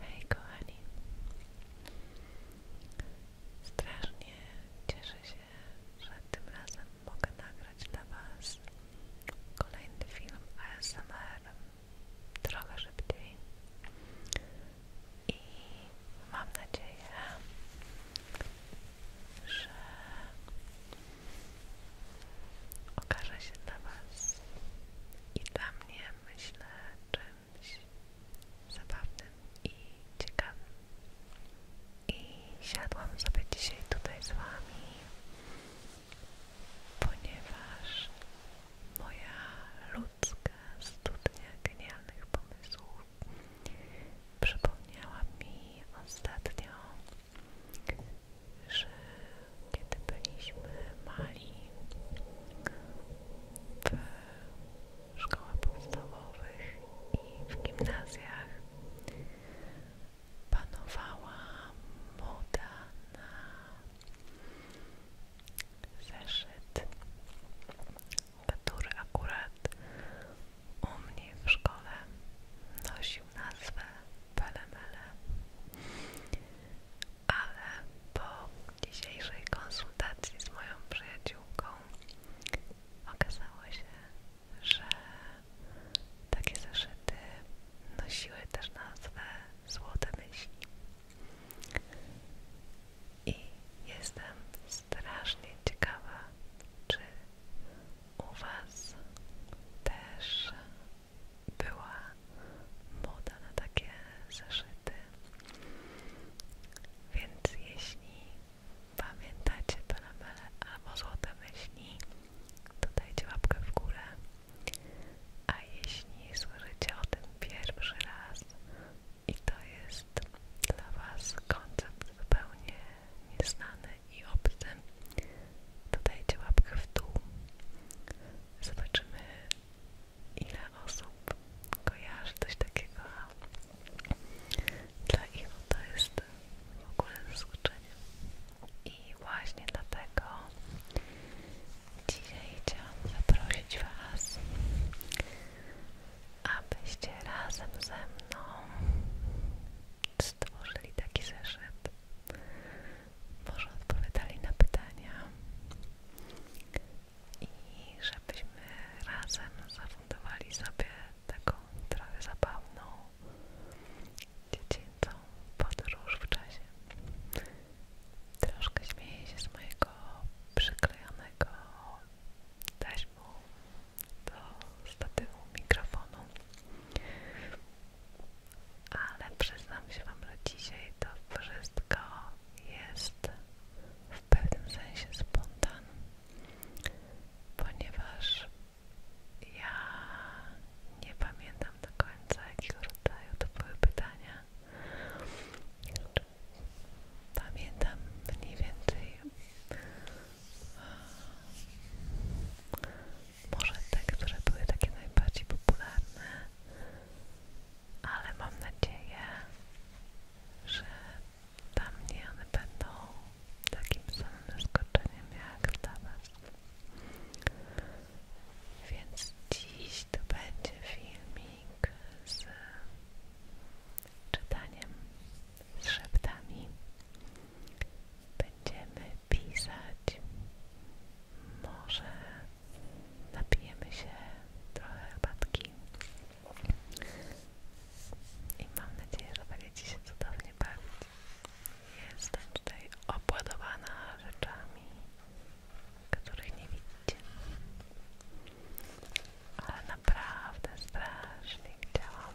Hej kochani Strasznie cieszę się, że tym razem mogę nagrać dla Was kolejny film ASMR trochę szybciej i mam nadzieję, że okaże się dla Was i dla mnie, myślę, czymś zabawnym i ciekawym. I siadłam sobie dzisiaj tutaj z Wami, ponieważ moja ludzka studnia genialnych pomysłów przypomniała mi ostatnio że kiedy byliśmy mali w szkołach podstawowych i w gimnazjach panowała moda na zeszyt, który akurat u mnie w szkole nosił nazwę Pelemele. Ale po dzisiejszej konsultacji z moją przyjaciółką okazało się, że takie zeszyty nosiły też nazwę Złote Myśli. I jestem strasznie ciekawa, czy u Was też była moda na takie zeszyty. Więc jeśli pamiętacie to lamele albo złote myśli, to dajcie łapkę w górę. A jeśli słyszycie o tym pierwszy raz i to jest dla Was koncept zupełnie nieznany i obcy, to dajcie łapkę w dół. Zobaczymy, ile osób kojarzy coś takiego. Dla ich to jest w ogóle zaskoczenie. I właśnie dlatego dzisiaj chciałam zaprosić Was, abyście razem ze mną stworzyli taki zeszyt może odpowiadali na pytania i żebyśmy razem zafundowali sobie taką trochę zabawną, dziecięcą podróż w czasie. Troszkę śmieję się z mojego przyklejonego taśmą do statywu mikrofonu ale przyznam się Wam, że dzisiaj to wszystko jest w pewnym sensie spontan, ponieważ ja nie pamiętam do końca, jakiego rodzaju to były pytania. Pamiętam mniej więcej może te, które były takie najbardziej popularne, ale mam nadzieję, że dla mnie one będą takim samym zaskoczeniem jak dla Was. Więc dziś to będzie filming z czytaniem, z szeptami będziemy pisać. Może napijemy się trochę herbatki. I mam nadzieję, że będziecie się cudownie bawić. Jestem tutaj opładowana rzeczami, których nie widzicie. Ale naprawdę strasznie chciałam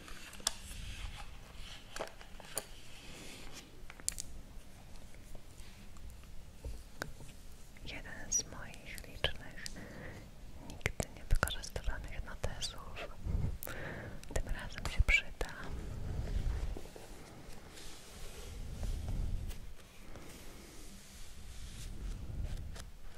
Jeden z moich licznych, nigdy nie wykorzystywanych notesów. Tym razem się przyda.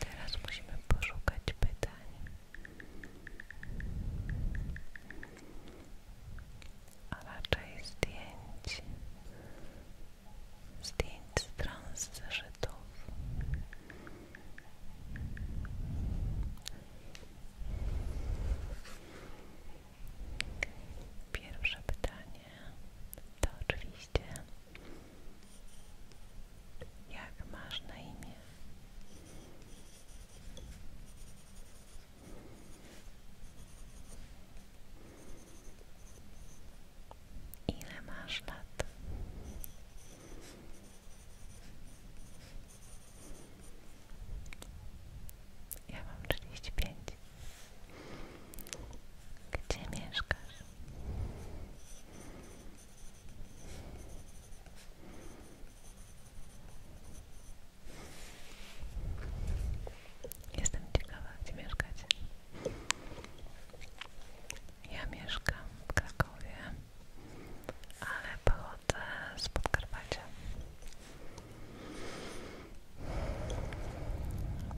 Teraz musimy poszukać pytań. A raczej zdjęć zdjęć z Pierwsze pytanie to oczywiście jak masz na imię? Ile masz lat? Ja mam 35. Gdzie mieszkasz? Jestem ciekawa, gdzie mieszkacie. Ja mieszkam w Krakowie, ale pochodzę z Podkarpacia.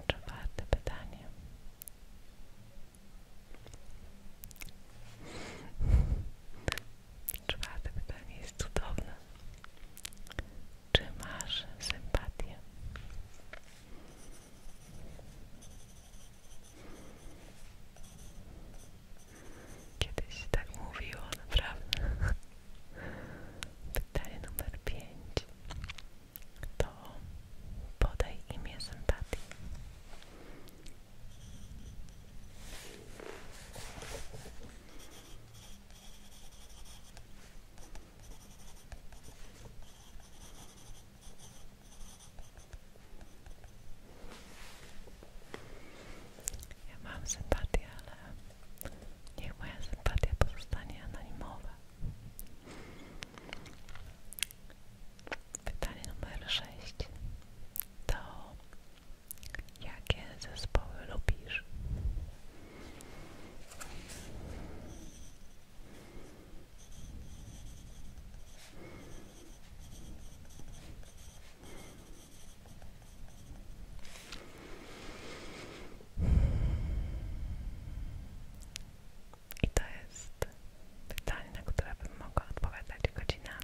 Czwarte pytanie. Czwarte pytanie jest cudowne. Czy masz sympatię? Kiedyś się tak mówiło, naprawdę. Pytanie numer pięć. to podaj imię sympatii. Ja mam sympatię, ale niech moja sympatia pozostanie anonimowa. Pytanie numer sześć. to jakie zespoły lubisz? I to jest pytanie, na które bym mogła odpowiadać godzinę,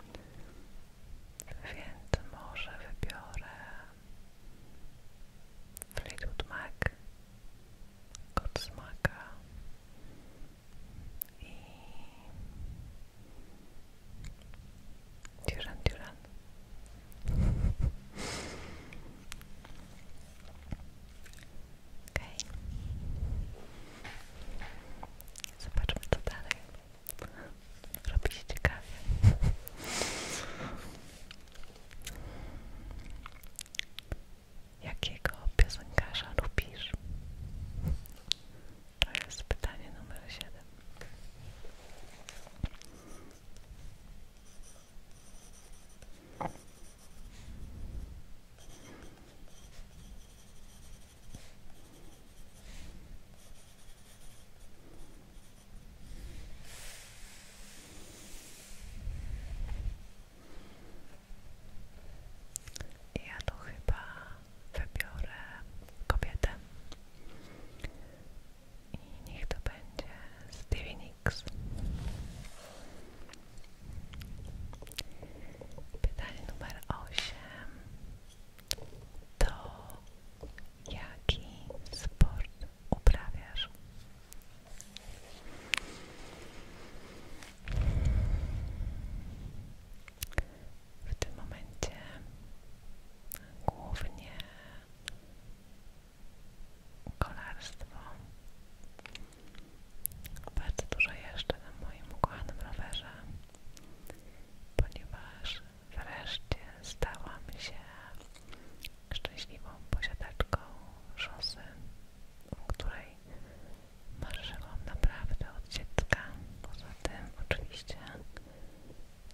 więc może wybiorę Fleetwood Mac, Godsmaka i Duran Duran. Okay. Zobaczmy co dalej. Robi Jakiego piosenkarza lubisz? To jest pytanie numer ja to chyba wybiorę kobietę i niech to będzie Stevie Nicks. Pytanie numer 8 to jaki sport uprawiasz? W tym momencie głównie kolarstwo. Bardzo dużo jeszcze na moim ukochanym rowerze, ponieważ wreszcie stałam się szczęśliwą posiadaczką szosy, w której marzyłam naprawdę od dziecka. Poza tym oczywiście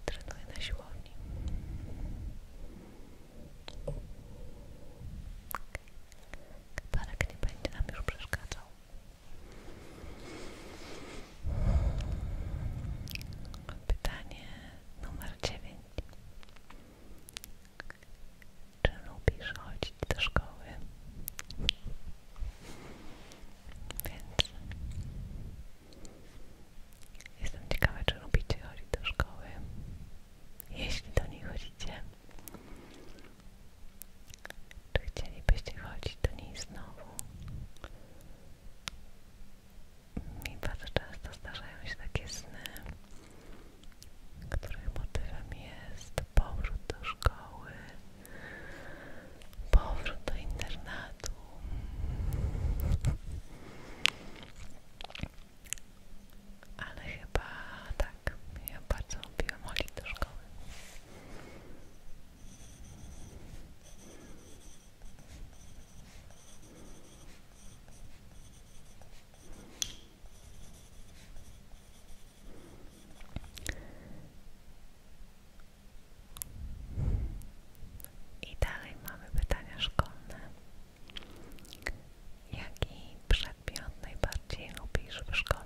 trenuję na siłowni. Parek nie będzie nam już przeszkadzał. Pytanie Numer dziewięć Czy lubisz chodzić do szkoły? Więc jestem ciekawa, czy lubicie chodzić do szkoły. Jeśli do niej chodzicie, czy chcielibyście chodzić do niej znowu? mi bardzo często zdarzają się takie sny, których motywem jest powrót do szkoły, powrót do internatu. Ale chyba tak, ja bardzo lubiłam chodzić do szkoły. I dalej mamy pytania szkolne. Jaki przedmiot najbardziej lubisz w szkole?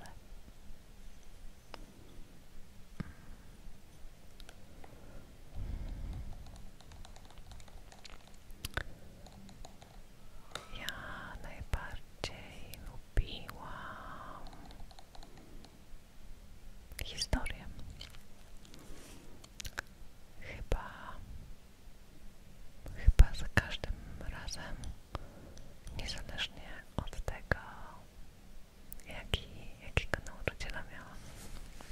Ja najbardziej lubiłam historię. Chyba, chyba za każdym razem, niezależnie od tego, jaki, jakiego nauczyciela miałam.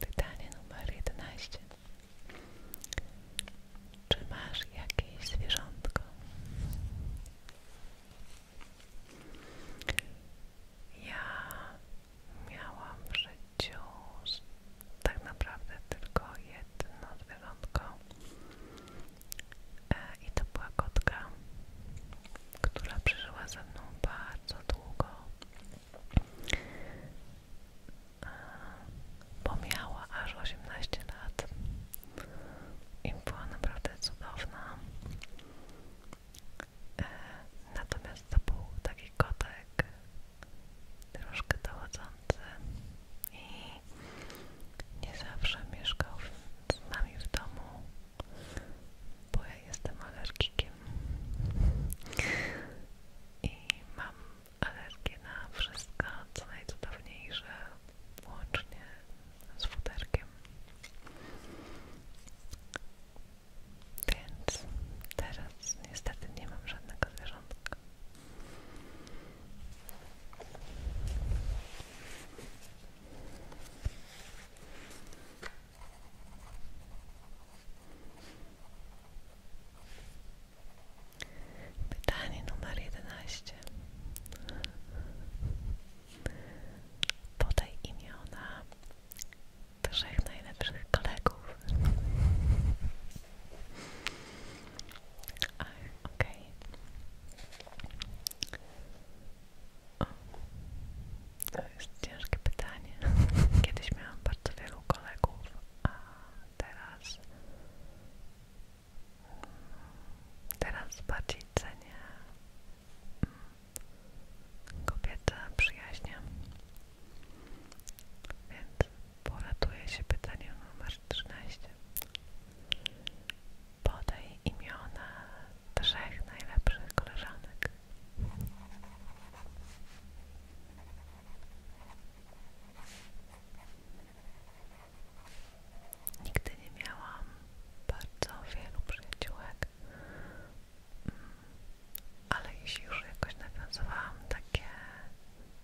Pytanie numer 11. Czy masz jakieś zwierzątko? Ja miałam w życiu tak naprawdę tylko jedno zwierzątko e, i to była kotka, która przeżyła ze mną bardzo długo, e, bo miała aż 18 lat i była naprawdę cudowna. E, natomiast to był taki kotek troszkę dochodzący i nie zawsze mieszkał z nami w domu, bo ja jestem alergikiem i mam alergię na wszystko, co najcudowniejsze, łącznie z futerkiem. Więc teraz niestety nie mam żadnego zwierzątka. Pytanie numer 11. Podaj imiona trzech najlepszych kolegów. Ach, okej. To jest ciężkie pytanie. Kiedyś miałam bardzo wielu kolegów, a teraz... Mm, teraz bardziej cenię kobiety przyjaźnie. Więc poratuje się pytanie numer 13. Podaj imiona trzech najlepszych koleżanek. Nigdy nie miałam bardzo wielu przyjaciółek, ale jeśli już jakoś nawiązałam takie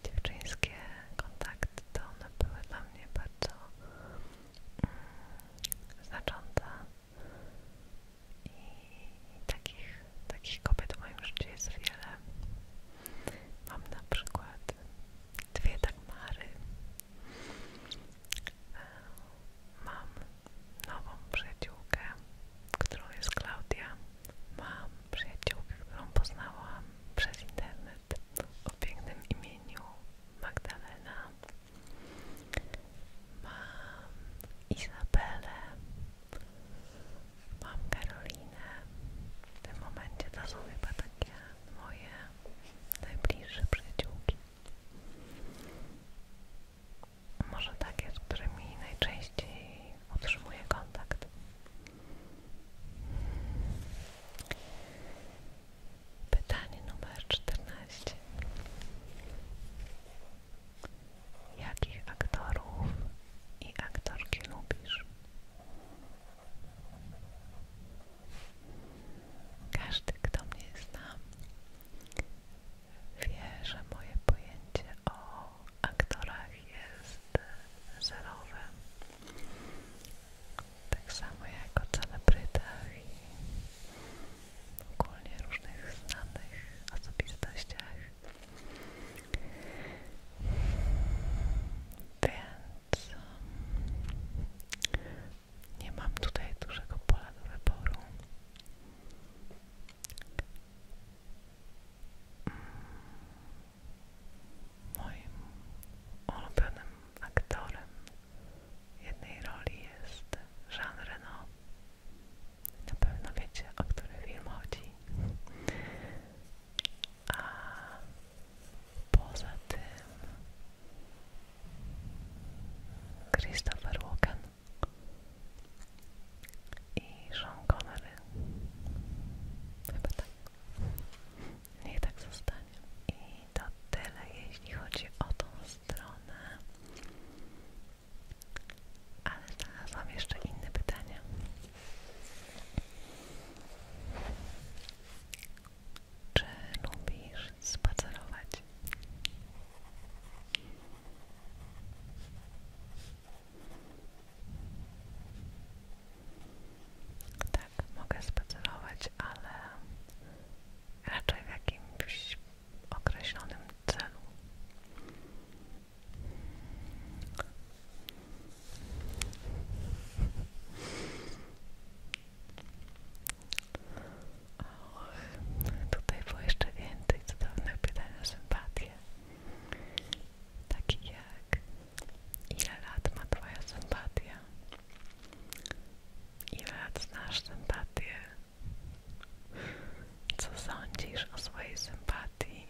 dziewczyńskie kontakty, to one były dla mnie bardzo mm, znaczące i, takich, takich kobiet w moim życiu jest wiele. Mam na przykład dwie Dagmary, e, mam nową przyjaciółkę, którą jest Klaudia. Mam przyjaciółkę, którą poznałam przez internet o pięknym imieniu Magdalena. Mam Izabelę. Mam Karolinę. W tym momencie to są chyba takie moje najbliższe przyjaciółki może takie, z którymi najczęściej utrzymuję kontakt. Pytanie numer czternaście. Jakich aktorów i aktorki lubisz? Każdy, kto mnie zna, wie, że moje pojęcie o aktorach jest zerowe. Tak samo jak o celebrytach i ogólnie różnych znanych osobistościach. Więc nie mam tutaj dużego pola do wyboru. Mm. Moim ulubionym aktorem jednej roli jest Jean Reno. Na pewno wiecie, o który film chodzi. A poza tym Christopher Walken i Sean Connery. Chyba tak. Niech tak zostanie. I to tyle, jeśli chodzi o tą stronę. Ale mam jeszcze inne pytania. Czy lubisz spacerować? Tak, mogę spacerować, ale raczej w jakimś określonym celu. Och, tutaj było jeszcze więcej cudownych pytań o sympatię. Taki jak ile lat ma twoja sympatia? Ile lat znasz sympatię? Co sądzisz o swojej sympatii?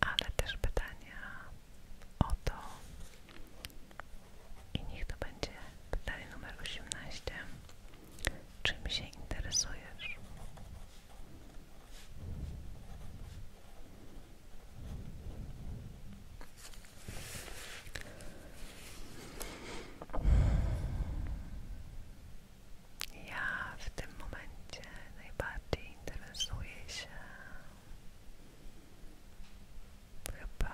Ale też pytania to i niech to będzie pytanie numer 18. Czym się interesujesz? Ja w tym momencie najbardziej interesuję się chyba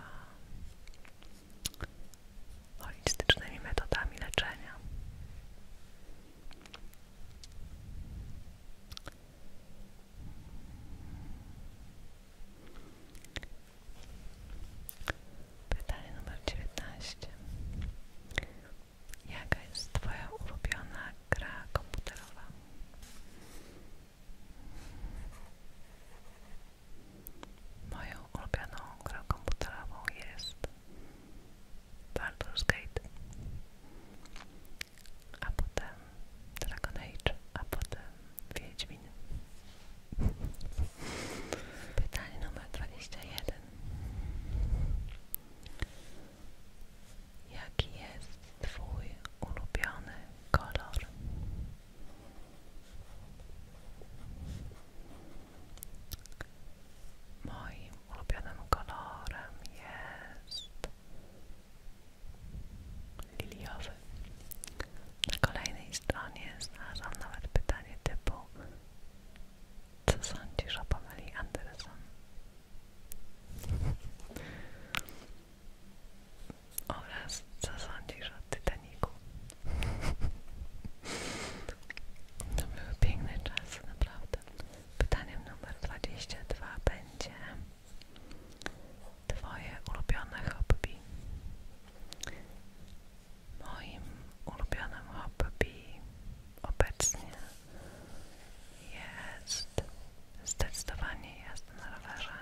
holistycznymi metodami leczenia. Pytanie numer 19. Jaka jest Twoja ulubiona gra komputerowa? Moją ulubioną grą komputerową jest Baldur's Gate, a potem Dragon Age, a potem Wiedźmin. Pytanie numer 21. Jaki jest Twój ulubiony kolor? Moim ulubionym kolorem jest liliowy. Na kolejnej stronie znalazłam nawet pytanie typu co sądzisz o Pameli Anderson? oraz co sądzisz o Titanicu? To były piękne czasy, naprawdę. Pytaniem numer 22 będzie Twoje ulubione hobby. Moim ulubionym hobby obecnie jest. Zdecydowanie jest na rowerze.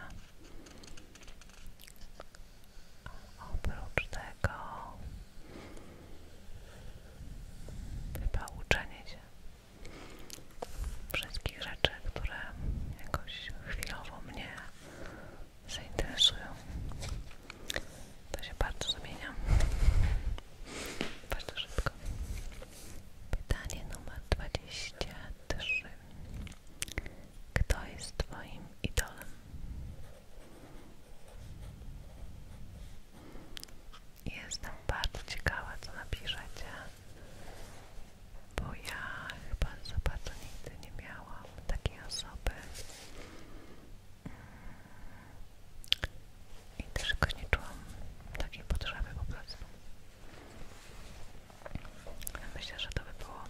Oprócz tego chyba uczenie się wszystkich rzeczy, które jakoś chwilowo mnie zainteresują. To się bardzo zmienia. Bardzo szybko. Pytanie numer dwadzieścia. 3. Kto jest Twoim idolem? Jestem bardzo ciekawa, co napiszecie, bo ja chyba za bardzo nigdy nie miałam takiej osoby i też nie czułam takiej potrzeby po prostu. Myślę, że to by było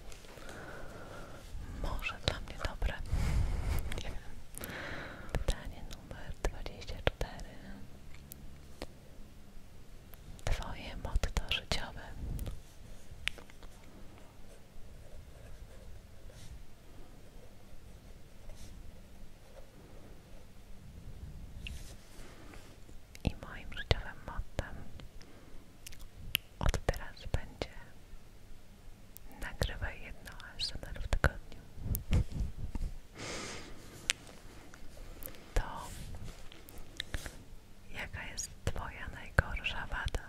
może dla mnie dobre. Nie wiem. Pytanie numer 24. Twoje motto życiowe i moim życiowym mottem od teraz będzie nagrywaj jedno ASMR w tygodniu. To jaka jest Twoja najgorsza wada?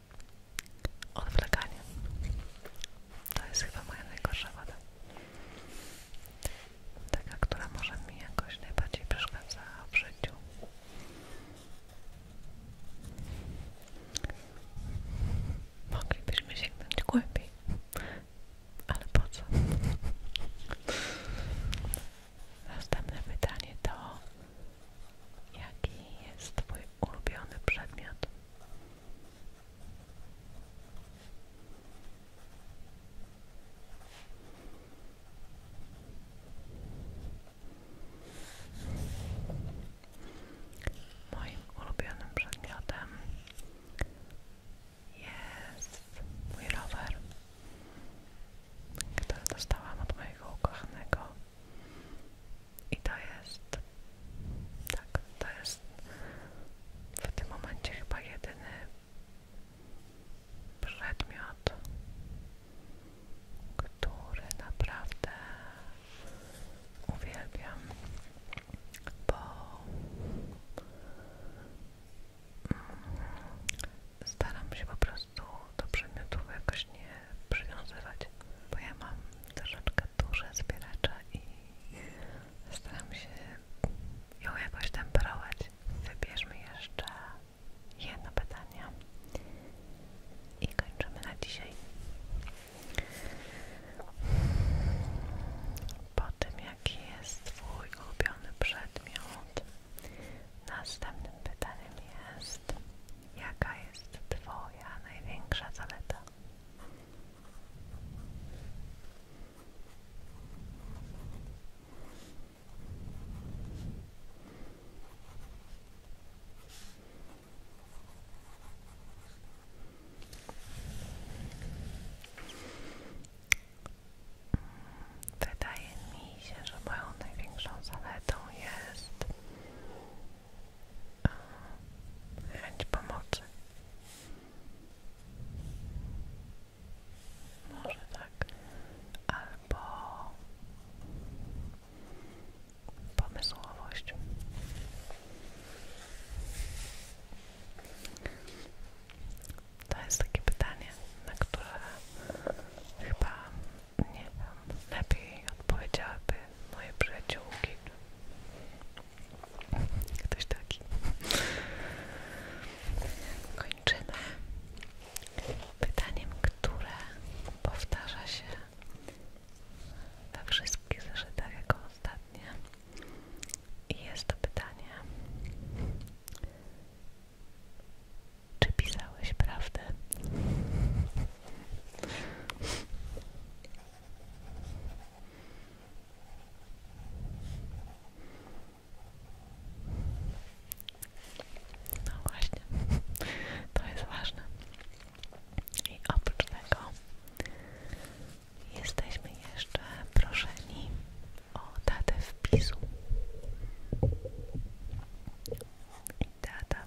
Odwlekanie. To jest chyba moja najgorsza wada. Taka, która może mi jakoś najbardziej przeszkadza w życiu. Moglibyśmy sięgnąć głębiej, ale po co? Następne pytanie to Jaki jest Twój ulubiony przedmiot? Moim ulubionym przedmiotem jest mój rower, który dostałam od mojego i to jest, tak, to jest w tym momencie chyba jedyny przedmiot, który naprawdę uwielbiam, bo mm, staram się po prostu do przedmiotów jakoś nie przywiązywać, bo ja mam troszeczkę duże zbieracze i staram się ją jakoś temperować. Wybierzmy jeszcze jedno pytanie i kończymy na dzisiaj. Po tym jaki jest Twój ulubiony przedmiot, następnym pytaniem jest Jaka jest Twoja największa zaleta? Wydaje mi się, że moją największą zaletą jest chęć pomocy. Może tak. Albo pomysłowość. To jest takie pytanie, na które chyba nie wiem, lepiej odpowiedziałaby moje przyjaciółki. Ktoś taki. Kończymy pytaniem, które powtarza się we wszystkich zeszytach jako ostatnie. I jest to pytanie czy prawdę? No właśnie, to jest ważne. I oprócz tego jesteśmy jeszcze proszeni o datę wpisu. I data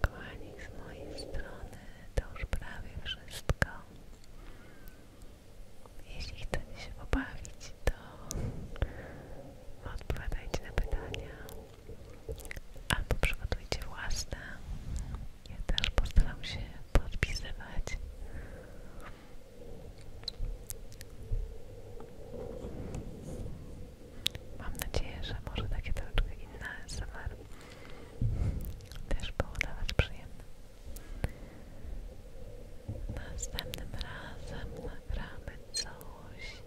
Kochani, z mojej strony to już prawie wszystko. Jeśli chcecie się pobawić, to odpowiadajcie na pytania albo przygotujcie własne. Ja też postaram się podpisywać. Mam nadzieję, że może takie troszeczkę inne SMR też było dawać przyjemne. Następnym razem nagramy coś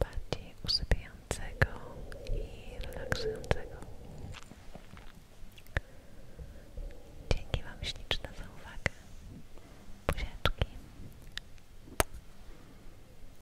bardziej usypiającego i relaksującego. Dzięki Wam śliczne za uwagę. Buziaczki.